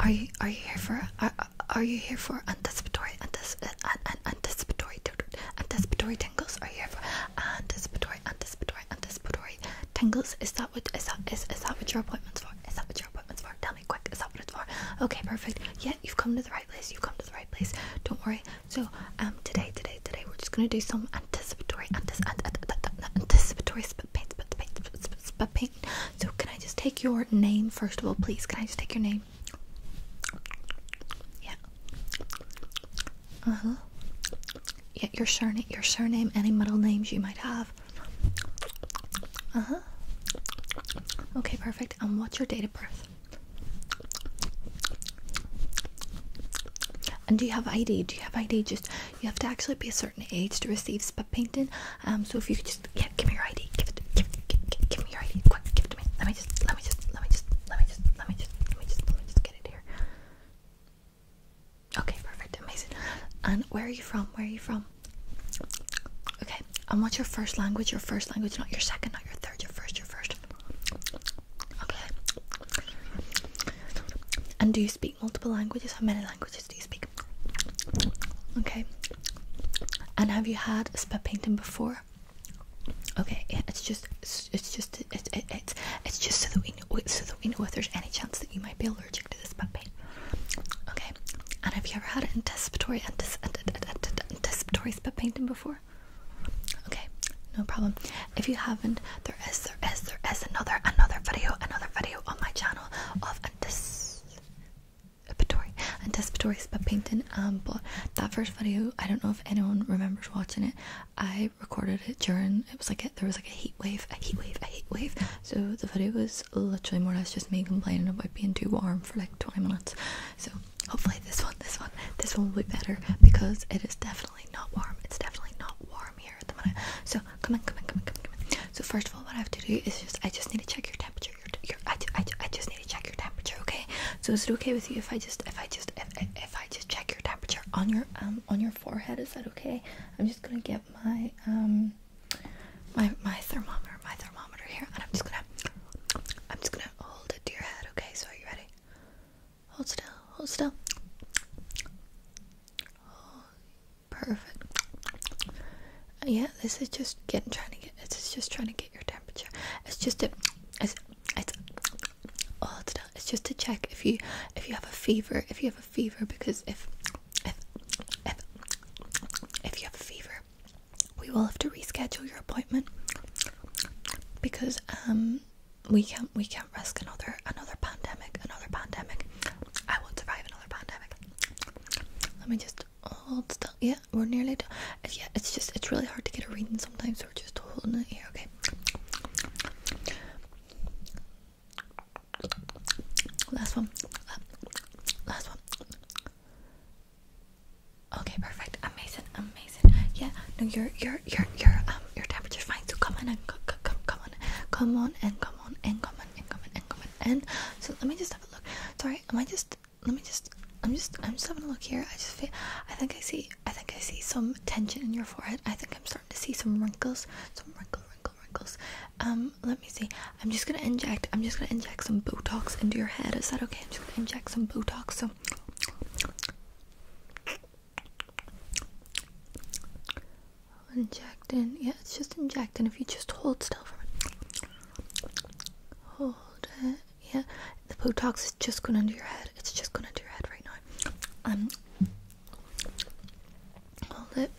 Are you are you here for are, are you here for anticipatory antici anticipatory anticipatory tingles? Are you here for anticipatory anticipatory anticipatory tingles? Is that what is that is is that what your appointment's for? Is that what your appointment's for? Tell me quick. Is that what it's for? Okay, perfect. Yeah, you've come to the right place. You've come to the right place. Don't worry. So um today today today we're just gonna do some anticipatory antici anticipatory spit paint spit paint spit paint so can I just take your name first of all please? Can I just take your name? Yeah. Uh-huh. Yeah, your surname your surname, any middle names you might have. Uh-huh. Okay, perfect. And what's your date of birth? And do you have ID? Do you have ID? Just you have to actually be a certain age to receive spot painting. Um, so if you could just yeah, give me your ID, give it, give, give, give, give me your ID, quick, give it to me. Let me just, let me just, let me just, let me just, let me just, let me just, let me just get it here. Okay, perfect, amazing. And where are you from? Where are you from? Okay, and what's your first language? Your first language, not your second, not your third, your first, your first. Okay. And do you speak? multiple languages? How many languages do you speak? Okay. And have you had a spit painting before? Okay, yeah, it's just, it's, just, it, it's, it's just so that we know, so that we know if there's any chance that you might be allergic to the spit paint. Okay. And have you ever had an anticipatory, anticipatory spit painting before? Okay, no problem. If you haven't, there is, there is, there is another, another video, another video on my channel of anticipatory, anticipatory spot painting. Um, but that first video, I don't know if anyone remembers watching it. I recorded it during it was like a, there was like a heat wave, a heat wave, a heat wave. So the video was literally more or less just me complaining about being too warm for like 20 minutes. So hopefully this one, this one, this one will be better because it is definitely not warm. It's definitely not warm here at the moment. So come on, come on, come on, come on, come on. So first of all, what I have to do is just I just need to check your temperature. I, I, I just need to check your temperature, okay? So is it okay with you if I just if I just if, I just check your temperature on your um on your forehead? Is that okay? I'm just gonna get my um my my thermometer my thermometer here, and I'm just gonna I'm just gonna hold it to your head, okay? So are you ready? Hold still, hold still. Perfect. Uh, yeah, this is just getting trying to get. It's just trying to get your temperature. It's just a. It's it's. Oh, it's not, It's just to check if you if you have a fever. If you have a fever, because if if if if you have a fever, we will have to reschedule your appointment because um we can't we can't risk another another pandemic another pandemic I won't survive another pandemic. Let me just hold still. Yeah, we're nearly done. Yeah, it's just, it's really hard to get a reading sometimes, so we're just holding it here, okay? Last one. Last one. Okay, perfect. Amazing, amazing. Yeah, no, your your your your um your temperature's fine. So come on and come come come on, come on and come on and come on common, in common, in and so let me just have a look. Sorry, am I just? Let me just. I'm just. I'm just having a look here. I just feel. I think I see. I think I see some tension in your forehead. I think I'm starting to see some wrinkles. Some wrinkle, wrinkle, wrinkles. Um, let me see. I'm just gonna inject. I'm just gonna inject some Botox into your head. Is that okay? I'm just gonna inject some Botox. So. Injecting, Yeah, it's just injecting. If you just hold still for it. Hold it. Yeah. The Botox is just going under your head. It's just going under your head right now. Um. Hold it.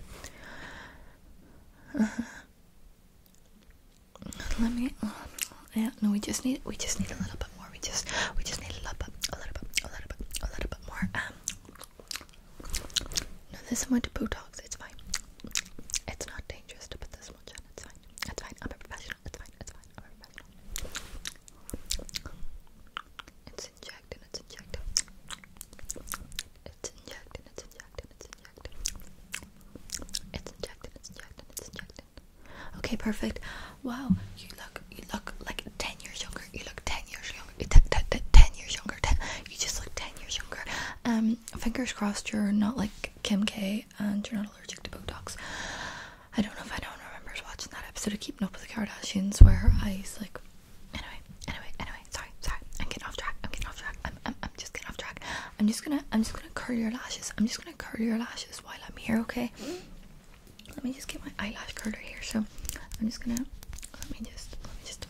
Uh-huh. Let me. Uh, yeah. No, we just need. We just need a little bit more. We just. We just need a little bit. A little bit. A little bit. A little bit more. Um. No, there's someone to Botox. It's fine. It's not dangerous to put this much on. It's fine. It's fine. I'm a professional. It's fine. It's fine. I'm a professional. It's injected. It's injected. It's injected. It's injected. It's injected. It's injected. Okay, perfect. Wow, you look you look like ten years younger younger. You look ten years younger. Eh, you ten years younger. Ten. You just look ten years younger. Um, fingers crossed you're not like Kim K and you're not allergic to Botox. I don't know if anyone remembers watching that episode of Keeping Up with the Kardashians where her eyes like. Anyway, anyway, anyway. Sorry, sorry. I'm getting off track. I'm getting off track. I'm, I'm, I'm just getting off track. I'm just gonna, I'm just gonna curl your lashes. I'm just gonna curl your lashes while I'm here. Okay. Let me just get my eyelash curler here. So I'm just gonna let me just, let me just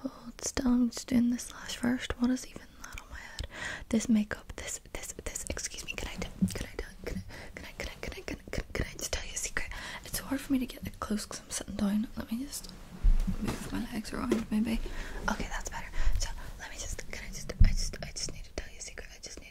hold still. I'm just doing this lash first. What is even that on my head? This makeup, this, this, this. Excuse me. Can I, can I, can I, can I, can I, can I, can I, can I just tell you a secret? It's so hard for me to get it close because I'm sitting down. Let me just move my legs around, maybe. Okay, that's better. So let me just, can I just, I just, I just need to tell you a secret. I just need.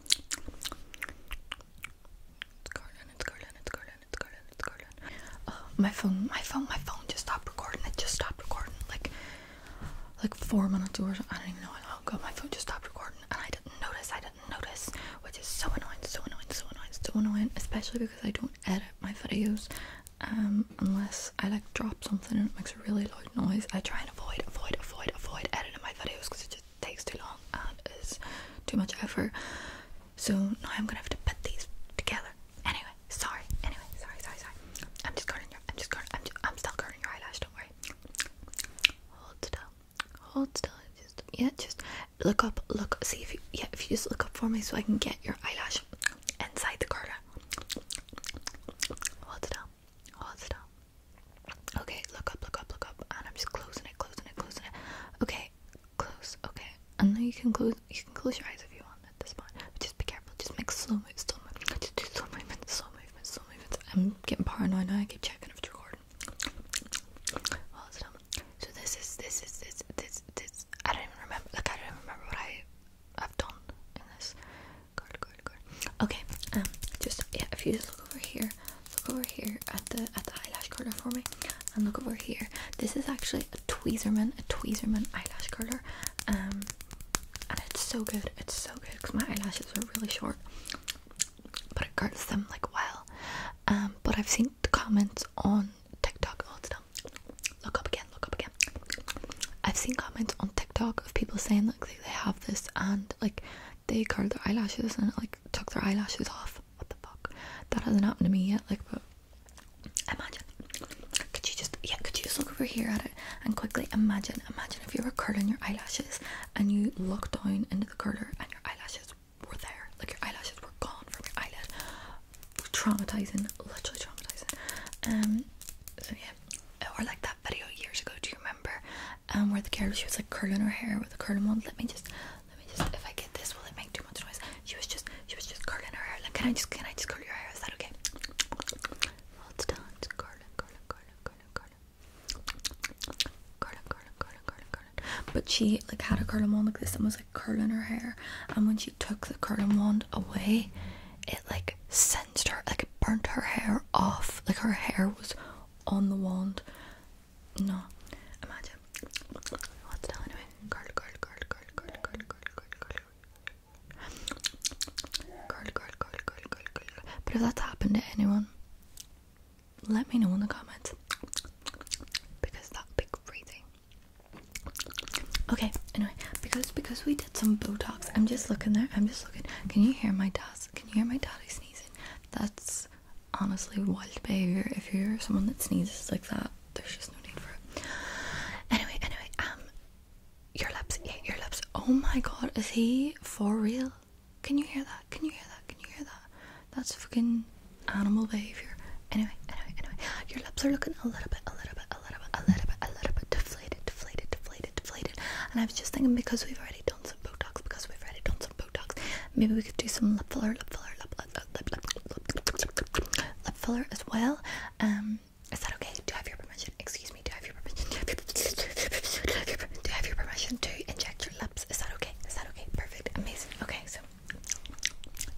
It's Garland, it's Garland, it's Garland, it's Garland, it's Garland. Uh, my phone, my phone, my phone just stopped recording. It just stopped recording. Like, like four minutes or something. I don't even know how long my phone just stopped recording, and I didn't notice. I didn't notice, which is so annoying, so annoying, so annoying, so annoying. Especially because I don't edit my videos, um, unless I like drop something and it makes a really loud noise. I try avoid, avoid, avoid, avoid editing my videos because it just takes too long and is too much effort. So now I'm gonna have to put these together. Anyway, sorry. Anyway, sorry, sorry, sorry. I'm just curling your. I'm just curling. I'm, just, I'm still curling your eyelash. Don't worry. Hold still. Hold still. Just yeah. Just look up. Look. See if you yeah. If you just look up for me so I can get your eyelash inside the curler. Hold still. Hold still. Okay, look up, look up, look up, and I'm just closing it, closing it, closing it. Okay, close. Okay, and now you can close. You can close your eyes if you want at this point. just be careful. Just make slow moves, slow movements. Just do slow movements, slow movements, slow movements. I'm getting paranoid now. I keep checking if it's recording. So this is this is this this this. I don't even remember. Like I don't even remember what I have done in this. Okay, um, just yeah, if you just look over here, look over here at the at the eyelash curler for me, and look over here. This is actually a Tweezerman, a Tweezerman eyelash curler, um, and it's so good. It's so good because my eyelashes are really short, but it curls them like well. Um, but I've seen comments on TikTok. Hold oh, still. Look up again. Look up again. I've seen comments on TikTok of people saying like they have this and like they curled their eyelashes and like took their eyelashes off. What the fuck? That hasn't happened to me yet. Like, imagine. Could you just yeah? Could you just look over here at it and quickly imagine? Imagine if you were curling your eyelashes and you looked down into the curler and your eyelashes were there. Like your eyelashes were gone from your eyelid. Traumatizing, literally traumatizing. Um. So yeah, or like video years ago. Do you remember? Um, where the girl she was like curling her hair with a curling wand. Let me just, let me just. If I get this, will it make too much noise? She was just, she was just curling her hair. Like, can I just, can I just curl your hair? Is that okay? Hold well, Curling, curling, curling, curling, curling. Curling, curling, curling, curling, curling. But she like had a curling wand like this and was like curling her hair. And when she took the curling wand away, it like. Set like it burnt her hair off. Like her hair was on the wand. No, imagine. What's that anyway? Curl, curl, curl, curl, curl, curl, curl, curl, curl, curl, curl, curl, curl, curl. But if that's happened to anyone, let me know in the comments because that'd be Okay, anyway, because because we did some Botox. I'm just looking there. I'm just looking. Can you hear my dad? Can you hear my daddy sneezing? That's honestly wild behavior. If you're someone that sneezes like that, there's just no need for it. Anyway, anyway, um, your lips, yeah, your lips. Oh my god, is he for real? Can you hear that? Can you hear that? Can you hear that? That's fucking animal behavior. Anyway, anyway, anyway, your lips are looking a little bit, a little bit, a little bit, a little bit, a little bit deflated, deflated, deflated, deflated. And I was just thinking because we've already done some Botox, because we've already done some Botox, maybe we could do some lip filler, lip filler, lip, lip, lip, lip, lip filler as well. Um, is that okay? Do I have your permission? Excuse me. Do I have your permission? Do I have your permission? to inject your lips? Is that okay? Is that okay? Perfect. Amazing. Okay, so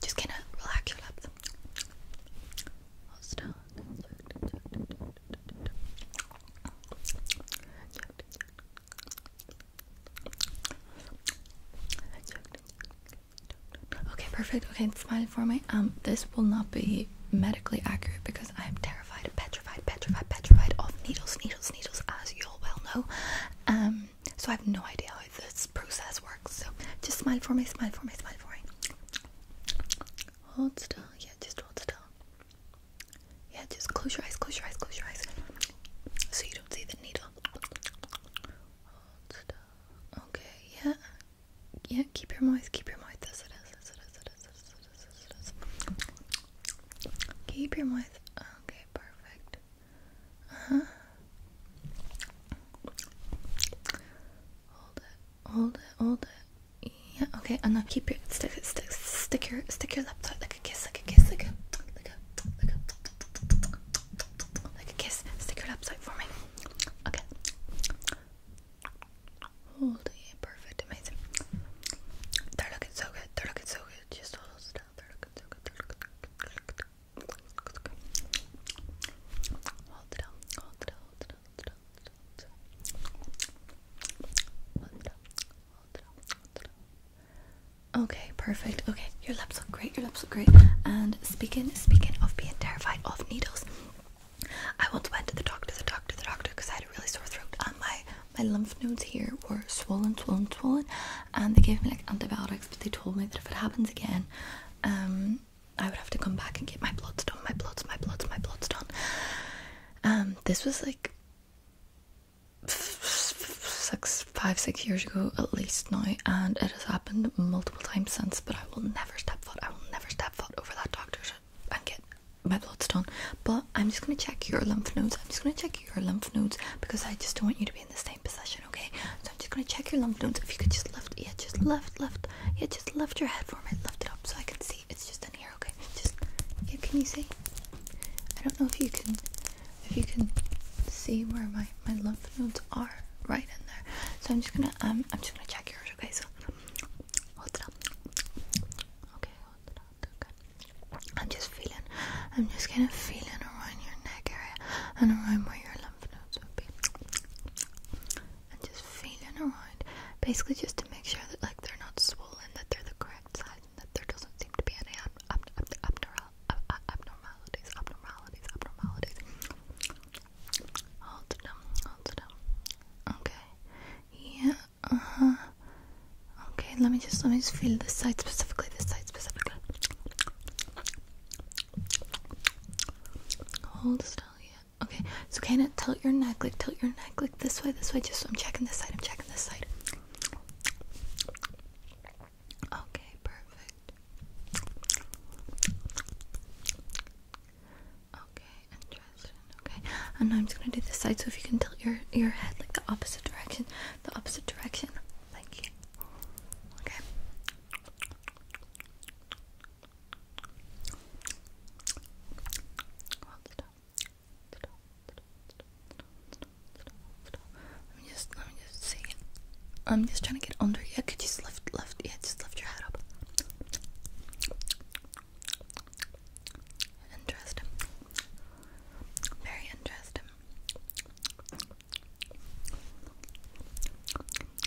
just kind of relax your lips. Hold still. Okay, perfect. Okay, smile for me. Um, this will not be medically accurate because I am terrified, petrified, petrified, petrified of needles, needles, needles, as you all well know. Um, so I have no idea how this process works. So just smile for me, smile for me, smile for me. Hold still. Yeah, just hold still. Yeah, just close your eyes, close your eyes, close your eyes. So you don't see the needle. Hold still. Okay, yeah. Yeah, keep your moist, keep your moist. Yes, it is, yes, it is, it is, it is, it is, it is. It is. Keep your moist. Okay, perfect. Uh huh. Hold it. Hold it, hold it. Yeah, okay. And now keep your stick, stick, stick your, stick your lip like a kiss, like a kiss, like a, like a, like a, like a kiss. Stick your laptop for me. Okay. Hold it. perfect, amazing. They're looking so good. They're looking so good. Just hold still. they They're looking so good. Hold it down. Hold it down. Hold it down. Okay, perfect. Okay, your lips look great. Your lips look great. And speaking speaking of being terrified of needles, I went to the doctor, the doctor, the doctor, because I had a really sore throat and my my lymph nodes here were swollen, swollen, swollen, and they gave me like antibiotics, but they told me that if it happens again, um, I would have to come back and get my bloods done, my bloods, my bloods, my bloods done. Um, this was like six, five, six years ago at least now, and it has happened multiple times since. But I will never step foot, I will never step foot over that doctor's and get my bloods done. But I'm just gonna check your lymph nodes. I'm just gonna check your lymph nodes because I just don't want you to be in the same position, okay? So I'm just gonna check your lymph nodes. If you could just left, yeah, just left, left, yeah, just just lift your head for me. Lift it up so I can see. It's just in here, okay? Just can you see? I don't know if you can if you can see where my my lymph nodes are right in there. So I'm just gonna um I'm just gonna check yours, okay? So hold it up. Okay, hold it up. Okay. I'm just feeling I'm just kind of feeling around your neck area and around where your lymph nodes would be and just feeling around, basically just to make sure that like they're not swollen, that they're the correct size, that there doesn't seem to be any ab ab ab abnormal ab abnormalities, abnormalities, abnormalities. Hold them, hold them. Okay, yeah, uh huh. Okay, let me just let me just feel this side specifically, this side specifically. Hold still, yeah. Okay, so kind of tilt your neck, like tilt your neck, like this way, this way. Just I'm checking this side. I'm checking this side. Okay, perfect. Okay, interesting. Okay, and now I'm just gonna do this side. So if you can tilt your your head like the opposite direction, the opposite direction. Thank you. Okay. Let me just, let me just see. I'm just trying to get under. Yeah, could you just lift, lift? Yeah, just lift your head up. Interesting. Very interesting.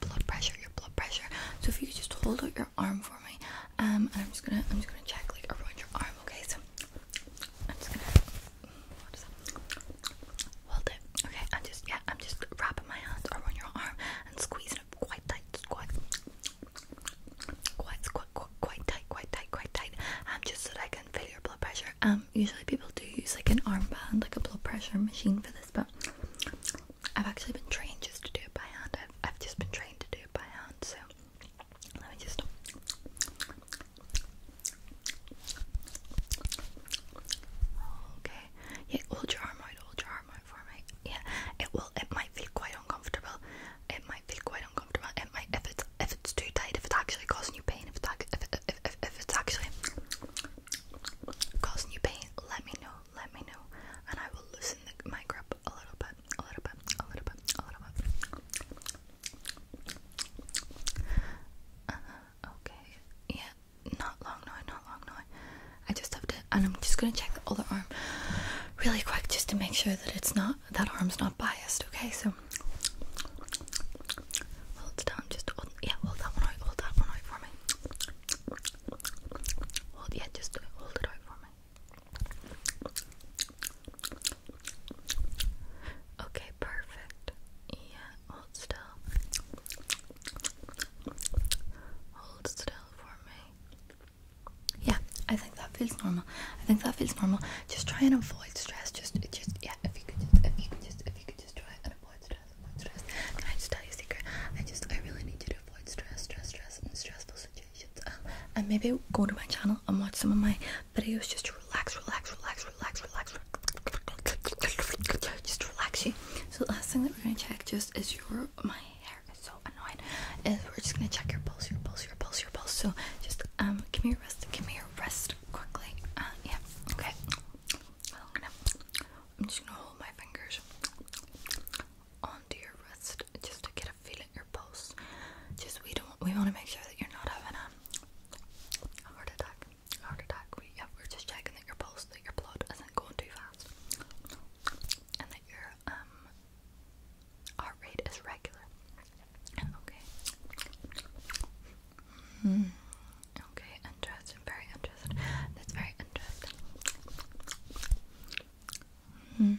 your blood pressure, your blood pressure. So if you could just hold out your arm for me, um, and I'm just gonna, I'm just gonna check like around your arm, okay? So I'm just gonna what is that? hold it, okay? I'm just, yeah, I'm just wrapping my hands around your arm and squeezing it quite tight, quite, quite, quite, quite tight, quite tight, quite tight, um, just so that I can feel your blood pressure. Um, usually people do use like an armband, like a blood pressure machine for this, but I've actually been trained just to do it by hand. I've, just been trained to do it by hand, so let me just. Okay. Yeah, hold your arm out. Hold your arm out for me. Yeah. It will. It might feel quite uncomfortable. It might feel quite uncomfortable. It might if it's if it's too tight. If it's actually causing you pain. If it's if it's actually causing you pain. Let me know let me know, and I will loosen the, my grip a little bit, a little bit, a little bit, a little bit. Uh, okay, yeah, not long now, not long now. I just have to, and I'm just gonna check the other arm really quick just to make sure that it's not that arm's not biased. Okay, so. Hold down, just yeah, hold that one out, hold that one out for me. Hold, yeah, just do it. Hold it right for me. Okay, perfect. Yeah, hold still. Hold still for me. Yeah, I think that feels normal. I think that feels normal. Just try and avoid stress. Just, just yeah. If you could just, if you could just, if you could just try and avoid stress, stress. Can I just tell you a secret? I just, I really need to do to avoid stress, stress, stress, and stressful situations. Um, and maybe go to my channel and watch some of my videos just to relax, relax, relax, relax, relax, just relax you. So the last thing that we're gonna check just is your my hair is so annoying. Is we're just gonna check your pulse, your pulse, your pulse, your pulse. So just um give me your wrist, give me your wrist quickly. Uh, yeah, okay. I'm, gonna, I'm just gonna hold my fingers onto your wrist just to get a feel at your pulse. Just we don't we want to make sure that you're not having a heart attack. heart attack. We yeah, we're just checking that your pulse, that your blood isn't going too fast, and that your um heart rate is regular. Okay. Mm, okay, interesting. That's very interesting. That's very interesting. Hmm,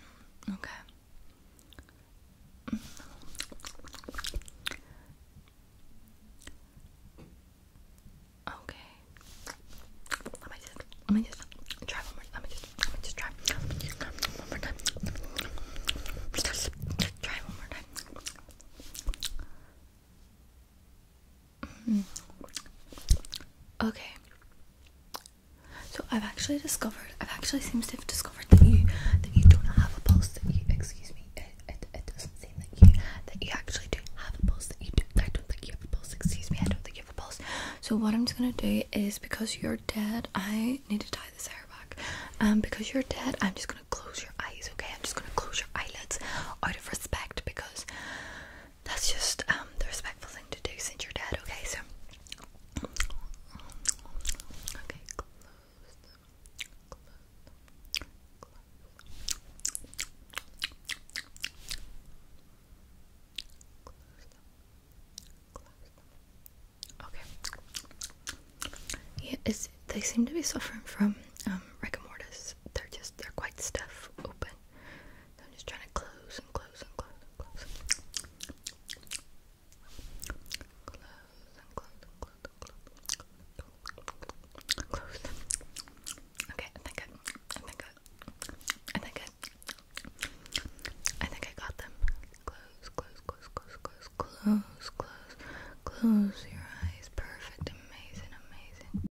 okay. Okay. Let me just let me just try one more. Let me just let me just try one more time. try one more time. Mm-hmm. Okay. So I've actually discovered. I've actually seems to have discovered that you that you don't have a pulse. That you, excuse me. It, it, it doesn't seem that you that you actually do have a pulse. That you do. I don't think you have a pulse. Excuse me. I don't think you have a pulse. So what I'm just gonna do is because you're dead, I need to tie this hair back. Um, because you're dead, I'm just gonna close your eyes. Okay, I'm just gonna close your eyelids out of respect because that's just um, the respectful thing to do since you're dead. Okay, so okay, Yeah, it's, they seem to be suffering from um rigor mortis. They're just they're quite stiff, open. So I'm just trying to close and close and close and close. Close and close and close and close. Close. Okay, I think I, I think I, I think I, I think I got them. Close, close, close, close, close, close, close, close your eyes. Perfect, amazing, amazing.